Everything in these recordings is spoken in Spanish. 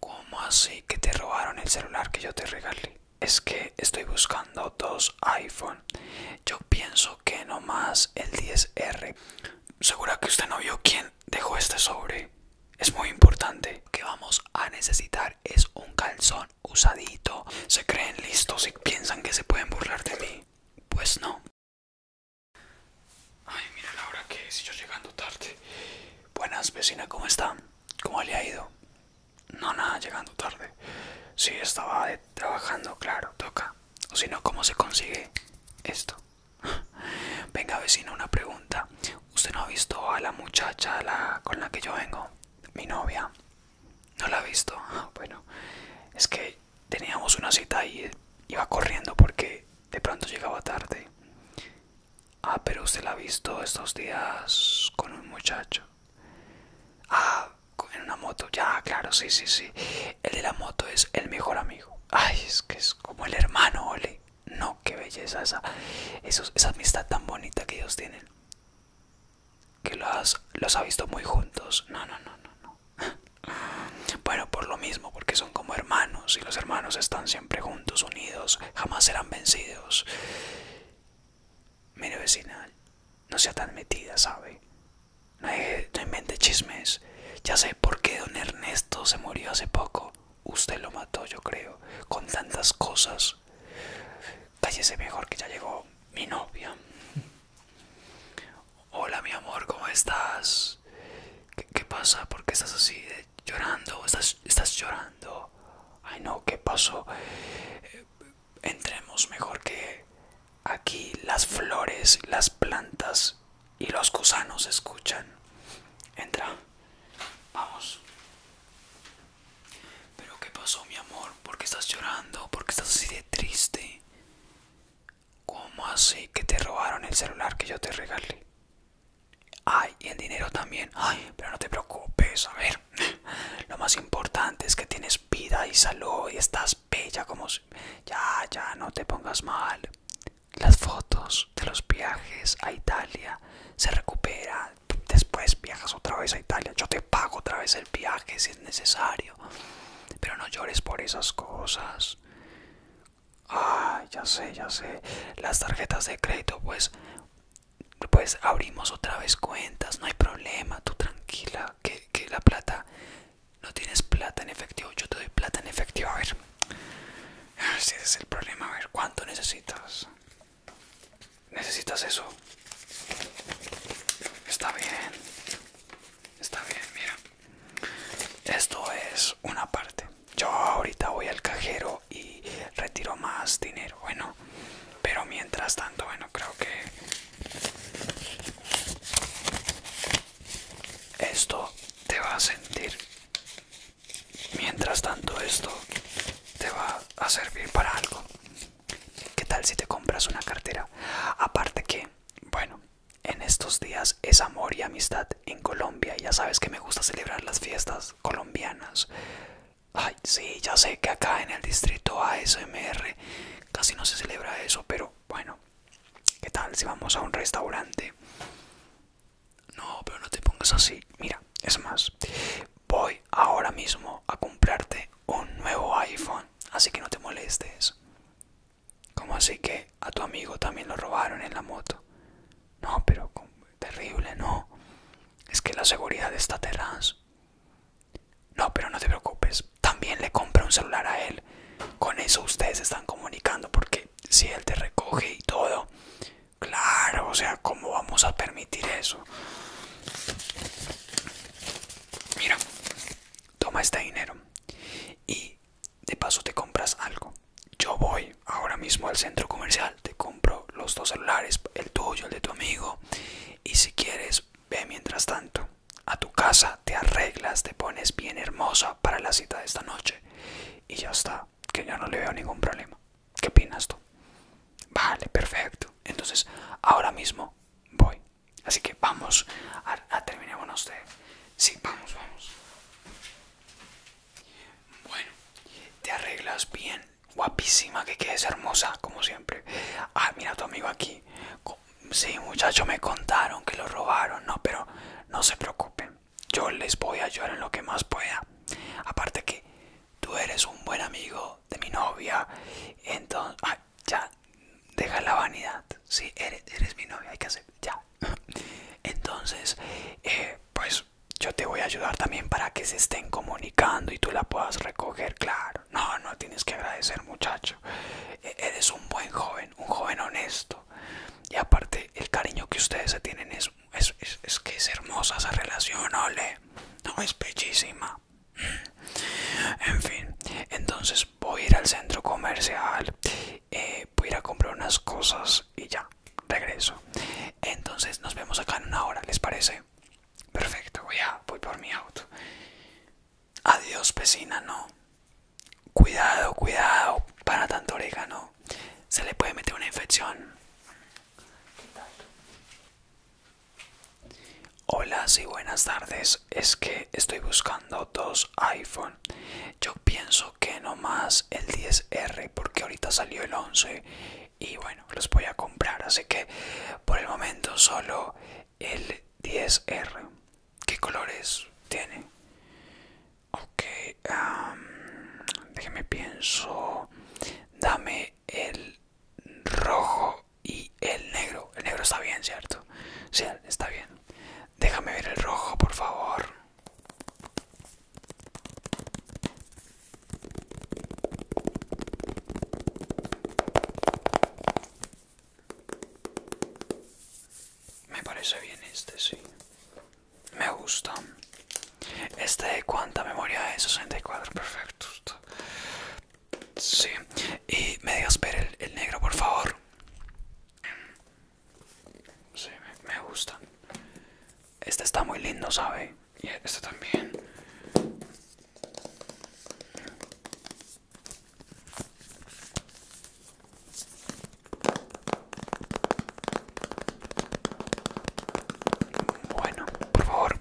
¿Cómo así que te robaron el celular que yo te regalé? Es que estoy buscando dos iPhone. Yo pienso que no más el 10R. Segura que usted no vio quién dejó este sobre. Es muy importante. Lo que vamos a necesitar es un calzón usadito. Se creen listos y piensan que se pueden burlar de mí. Pues no. Ay, mira la hora que es, yo llegando tarde. Buenas, vecina, ¿cómo está? ¿Cómo le ha ido? No, nada, llegando tarde. Sí, estaba trabajando, claro, toca. O si no, ¿cómo se consigue esto? Venga, vecina, una pregunta. ¿Usted no ha visto a la muchacha la, con la que yo vengo? Mi novia. ¿No la ha visto? Bueno, es que teníamos una cita y iba corriendo porque de pronto llegaba tarde. Ah, pero usted la ha visto estos días con un muchacho. Ah, en una moto. Ya, claro, sí, sí, sí. El de la moto es el mejor amigo. Ay, es que es como el hermano, ole. No, qué belleza esa, esa amistad tan bonita que ellos tienen. Que los, los ha visto muy juntos. no, no, no, no. Bueno, por lo mismo, porque son como hermanos y los hermanos están siempre juntos, unidos, jamás serán vencidos. Mire vecina, no sea tan metida, ¿sabe? No, invente chismes. Ya sé por qué don Ernesto se murió hace poco. Usted lo mató, yo creo, con tantas cosas. Cállese mejor que ya llegó mi novia. Hola mi amor, ¿cómo estás? ¿Qué, pasa? ¿Por qué estás así? Eh, ¿Llorando? ¿Estás, ¿Estás llorando? Ay no, ¿qué pasó? Eh, entremos mejor que aquí las flores, las plantas y los gusanos escuchan. Entra, vamos. ¿Pero qué pasó mi amor? ¿Por qué estás llorando? ¿Por qué estás así de triste? ¿Cómo así que te robaron el celular que yo te regalé? Ay, y el dinero también. Ay, pero no te preocupes, a ver. Lo más importante es que tienes vida y salud y estás bella como... Si... Ya, ya, no te pongas mal. Las fotos de los viajes a Italia se recuperan. Después viajas otra vez a Italia. Yo te pago otra vez el viaje si es necesario. Pero no llores por esas cosas. Ah, ya sé, ya sé. Las tarjetas de crédito, pues, pues abrimos otra vez cuentas, no hay problema, tú tranquila, que, la plata, no tienes plata en efectivo, yo te doy plata en efectivo, a ver. Ese es el problema, a ver, ¿cuánto necesitas? ¿Necesitas eso? Está bien, está bien, mira. Esto es una parte. Yo ahorita voy al cajero y retiro más dinero. Bueno, pero mientras tanto, bueno, creo que esto te va a sentir. Mientras tanto, esto te va a servir para algo. ¿Qué tal si te compras una cartera? Aparte que, bueno, en estos días es amor y amistad en Colombia. Ya sabes que me gusta celebrar las fiestas colombianas. Ay, sí, ya sé que acá en el distrito ASMR casi no se celebra eso, pero bueno, ¿qué tal si vamos a un restaurante? No, pero no te pongas así. Mira, es más, voy ahora mismo a comprarte un nuevo iPhone, así que no te molestes. ¿Cómo así que a tu amigo también lo robaron en la moto? No, pero terrible, no. Es que la seguridad está atrás. No, pero no te preocupes. También le compra un celular a él. Con eso ustedes están comunicando porque si él te recoge y todo. Claro, o sea, ¿cómo vamos a permitir eso? Mira, toma este dinero y de paso te compras algo. Yo voy ahora mismo al centro comercial, te compro los dos celulares, el tuyo, el de tu amigo, y si quieres, ve mientras tanto a tu casa, te arreglas, te pones bien hermosa para la cita de esta noche y ya está, que ya no le veo ningún problema. ¿Qué opinas tú? Vale, perfecto. Entonces, ahora mismo voy. Así que vamos a, terminar con de... Sí, vamos, vamos. Bueno, te arreglas bien, guapísima, que quedes hermosa, como siempre. Ah, mira tu amigo aquí. Sí, muchacho, me contaron que lo robaron, no, pero no se preocupen. Yo les voy a ayudar en lo que más pueda. Aparte que tú eres un buen amigo de mi novia. Entonces, ya, deja la vanidad. Sí, eres, eres mi novia, hay que hacer, ya, Entonces, eh, pues yo te voy a ayudar también para que se estén comunicando y tú la puedas recoger, claro. No, no tienes que agradecer, muchacho. E, eres un buen joven, un joven honesto. Y aparte, el cariño que ustedes se tienen es, es, que es hermosa esa relación, ole. No, es bellísima. En fin, entonces voy a ir al centro comercial. Eh, voy a ir a comprar unas cosas y ya, regreso. Entonces nos vemos acá en una hora, ¿les parece? Perfecto, voy, a, voy por mi auto. Adiós, vecina, no. Cuidado, cuidado, para tanto orégano. Se le puede meter una infección. Hola, sí, buenas tardes. Es que estoy buscando dos iPhone. Yo pienso no más el 10R porque ahorita salió el 11 y bueno, los voy a comprar. Así que por el momento solo el 10R. ¿Qué colores tiene? Ok, déjeme pienso. Dame el rojo y el negro. El negro está bien, ¿cierto? Sí, está bien. Déjame ver el rojo, por favor. Me parece bien este, sí. Me gusta. Este, ¿cuánta memoria es? 64, perfecto. Sí. Y me digas, ver el negro, por favor. Sí, me, gustan. gusta. Este está muy lindo, ¿sabe? Y este también. Bueno, por favor,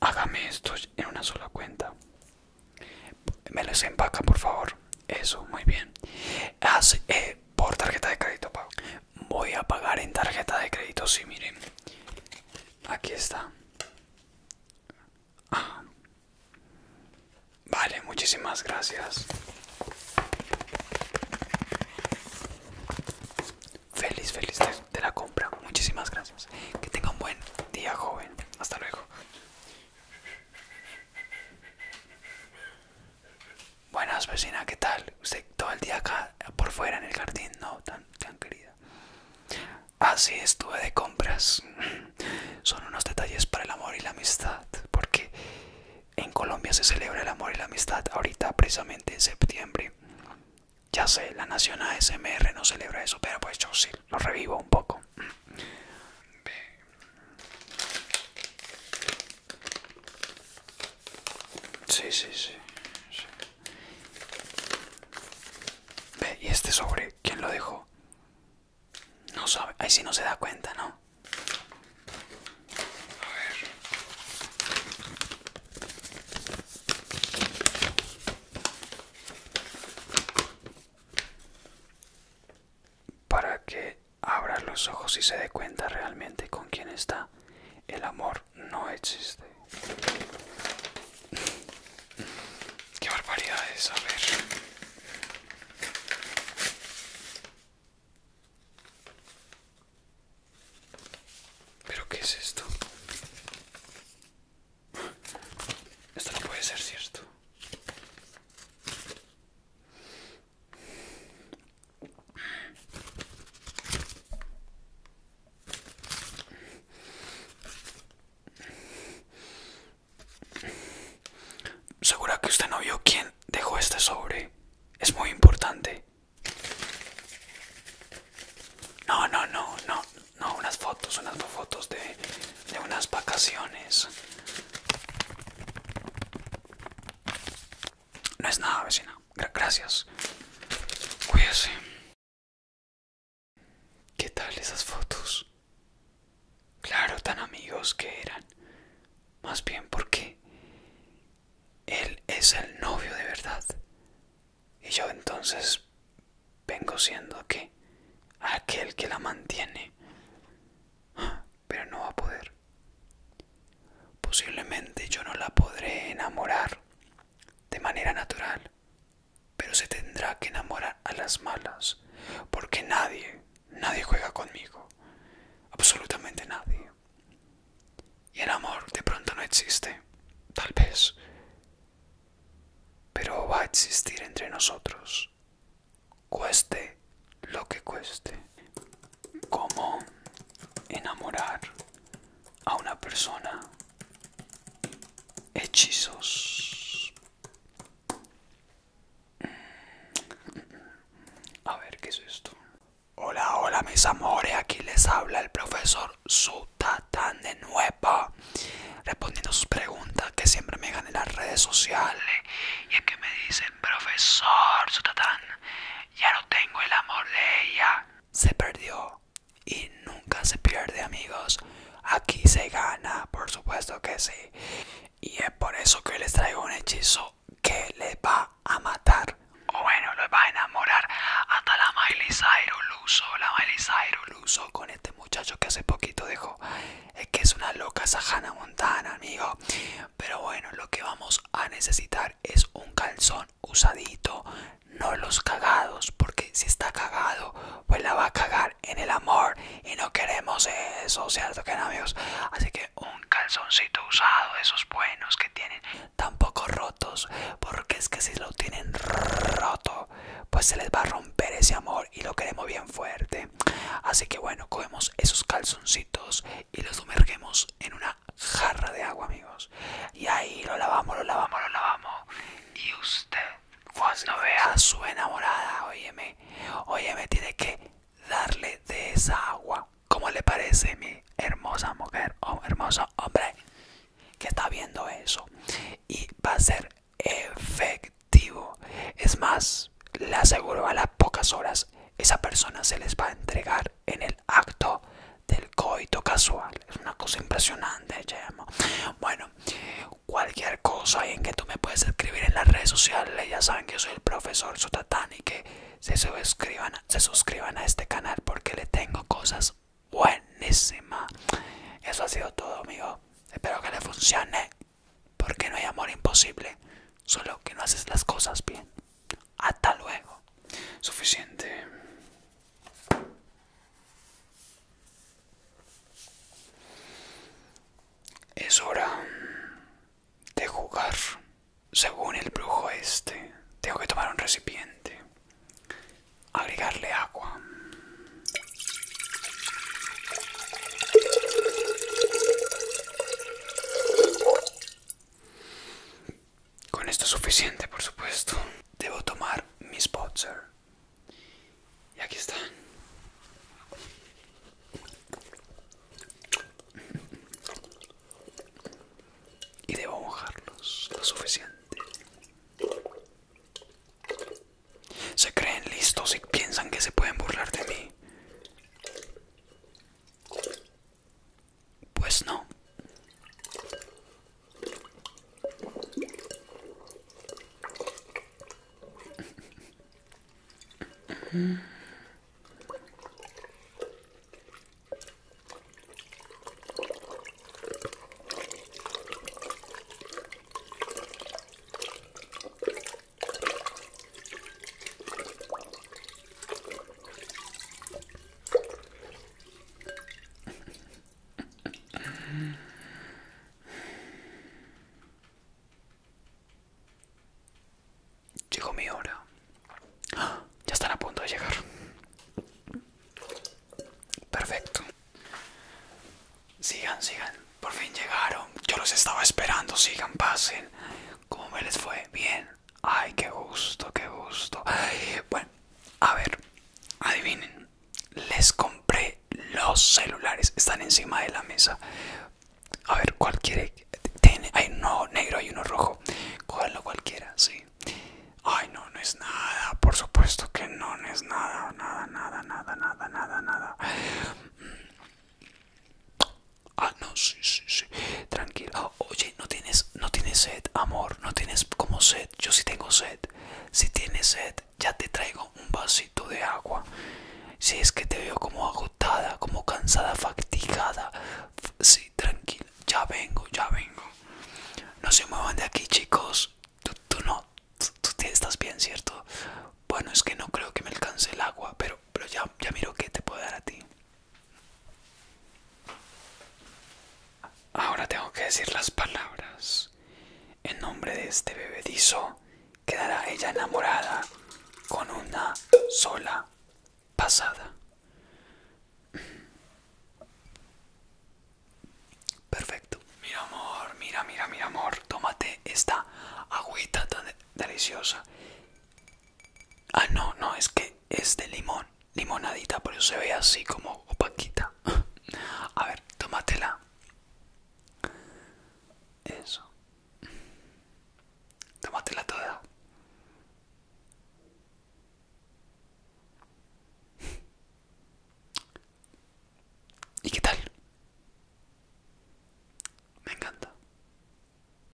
hágame esto en una sola cuenta. Me los empaca, por favor. Eso, muy bien. haz eh, por tarjeta de crédito, pago. Voy a pagar en tarjeta de crédito, sí, miren. Aquí está. Ah. Vale, muchísimas gracias. Feliz, feliz de la compra. Muchísimas gracias. Que tenga un buen día, joven. Hasta luego. Buenas vecina, ¿qué tal? Usted todo el día acá por fuera en el jardín, no, tan, querida. Así estuve de compras. Son unos detalles para el amor y la amistad, porque en Colombia se celebra el amor y la amistad ahorita precisamente en septiembre. Ya sé, la Nación ASMR no celebra eso, pero pues yo sí, lo revivo un poco. Sí, sí, sí, ¿y este sobre quién lo dejó? No sabe, ahí sí no se da cuenta, ¿no? A ver. Para que abra los ojos y se dé cuenta realmente con quién está. El amor no existe. Qué barbaridad es, a ver. ¿Pero qué es esto? Esto no puede ser cierto. Segura que usted no vio quién dejó este sobre. Es muy importante. No, no, no, no, no, unas fotos, unas fotos de, de unas vacaciones. No es nada, vecina. Gracias. Cuídese. ¿Qué tal esas fotos? Claro, tan amigos que eran. Más bien porque él es el novio de verdad. Y yo entonces vengo siendo que aquel que la mantiene pero no va a poder. Posiblemente yo no la podré enamorar de manera natural, pero se tendrá que enamorar a las malas, porque nadie, nadie juega conmigo, absolutamente nadie. Y el amor de pronto no existe, tal vez, pero va a existir entre nosotros cueste lo que cueste. ¿Cómo enamorar a una persona? Hechizos. Mm. A ver, ¿qué es esto? Hola, hola mis amores, aquí les habla el profesor Sutatán de nuevo, respondiendo sus preguntas que siempre me ganan en las redes sociales. Y es que me dicen profesor Zutatan, ya no tengo el amor de ella. Se perdió y nunca se pierde, amigos. Aquí se gana, por supuesto que sí. Y es por eso que les traigo un hechizo que les va a matar. O bueno, les va a enamorar hasta la Miley Cyrus Luso, la Miley Cyrus con este muchacho que hace poquito dejó. Es que es una loca sajana montana, amigo. Pero bueno, lo que vamos a necesitar es un calzón usadito, no los cagados, porque si está cagado, pues la va a cagar en el amor y no queremos eso, ¿cierto que Así que un calzoncito usado, esos buenos que tienen, tampoco rotos, porque es que si lo tienen roto, pues se les va a romper ese amor y lo queremos bien fuerte. Así que bueno, cogemos esos calzones y los sumergemos en una jarra de agua, amigos. Y ahí lo lavamos, lo lavamos, lo lavamos. Y usted, cuando vea a su enamorada, óyeme, óyeme, tiene que darle de esa agua. ¿Cómo le parece mi hermosa mujer o hermoso hombre que está viendo eso? Y va a ser efectivo. Es más, le aseguro a las pocas horas, esa persona se les va a entregar en el acto del coito casual. Es una cosa impresionante, Bueno, cualquier cosa en que tú me puedes escribir en las redes sociales, ya saben que yo soy el profesor Zutatán y que se se suscriban a este canal porque le tengo cosas buenísimas. Eso ha sido todo, amigo. Espero que le funcione porque no hay amor imposible, solo que no haces las cosas bien. Hasta luego. Suficiente. Es hora de jugar. Según el brujo este, tengo que tomar un recipiente. Agregarle agua. Con esto es suficiente, por supuesto. Debo tomar mis sponsor. Y aquí están. Y debo mojarlos lo suficiente. Se creen listos y piensan que se pueden burlar de mí. Pues no. Llegó mi hora. Ya están a punto de llegar. Perfecto. Sigan, sigan. Por fin llegaron. Yo los estaba esperando. Sigan, pasen. ¿Cómo me les fue? Bien. Ay, qué gusto, qué gusto. Bueno, a ver, adivinen. Les compré los celulares. Están encima de la mesa. A ver, cualquiera. ¿Tiene? Hay uno negro, y uno rojo. cogerlo cualquiera, sí. Ay, no, no es nada. Por supuesto que no, no es nada. Nada, nada, nada, nada, nada, nada. Ah, no, sí, sí, sí. tranquila Oye, no tienes, no tienes sed, amor. No tienes como sed. Yo sí tengo sed. Si tienes sed, ya te traigo un vasito de agua. Si es que te veo como agotada, como cansada, fatigada. Sí, tranquila. Ya vengo, ya vengo. No se muevan de aquí, chicos. Tú, no. Tú, estás bien, ¿cierto? Bueno, es que no creo que me alcance el agua, pero, pero ya, ya miro qué te puedo dar a ti. Ahora tengo que decir las palabras. En nombre de este bebedizo quedará ella enamorada con una sola pasada. Perfecto. Mira amor, mira, mira, mira amor. Tómate esta agüita tan deliciosa. Ah, no, no, es que es de limón, limonadita, por eso se ve así como opaquita. A ver, tómatela. Eso. Tómatela toda. ¿Y qué tal? Me encanta.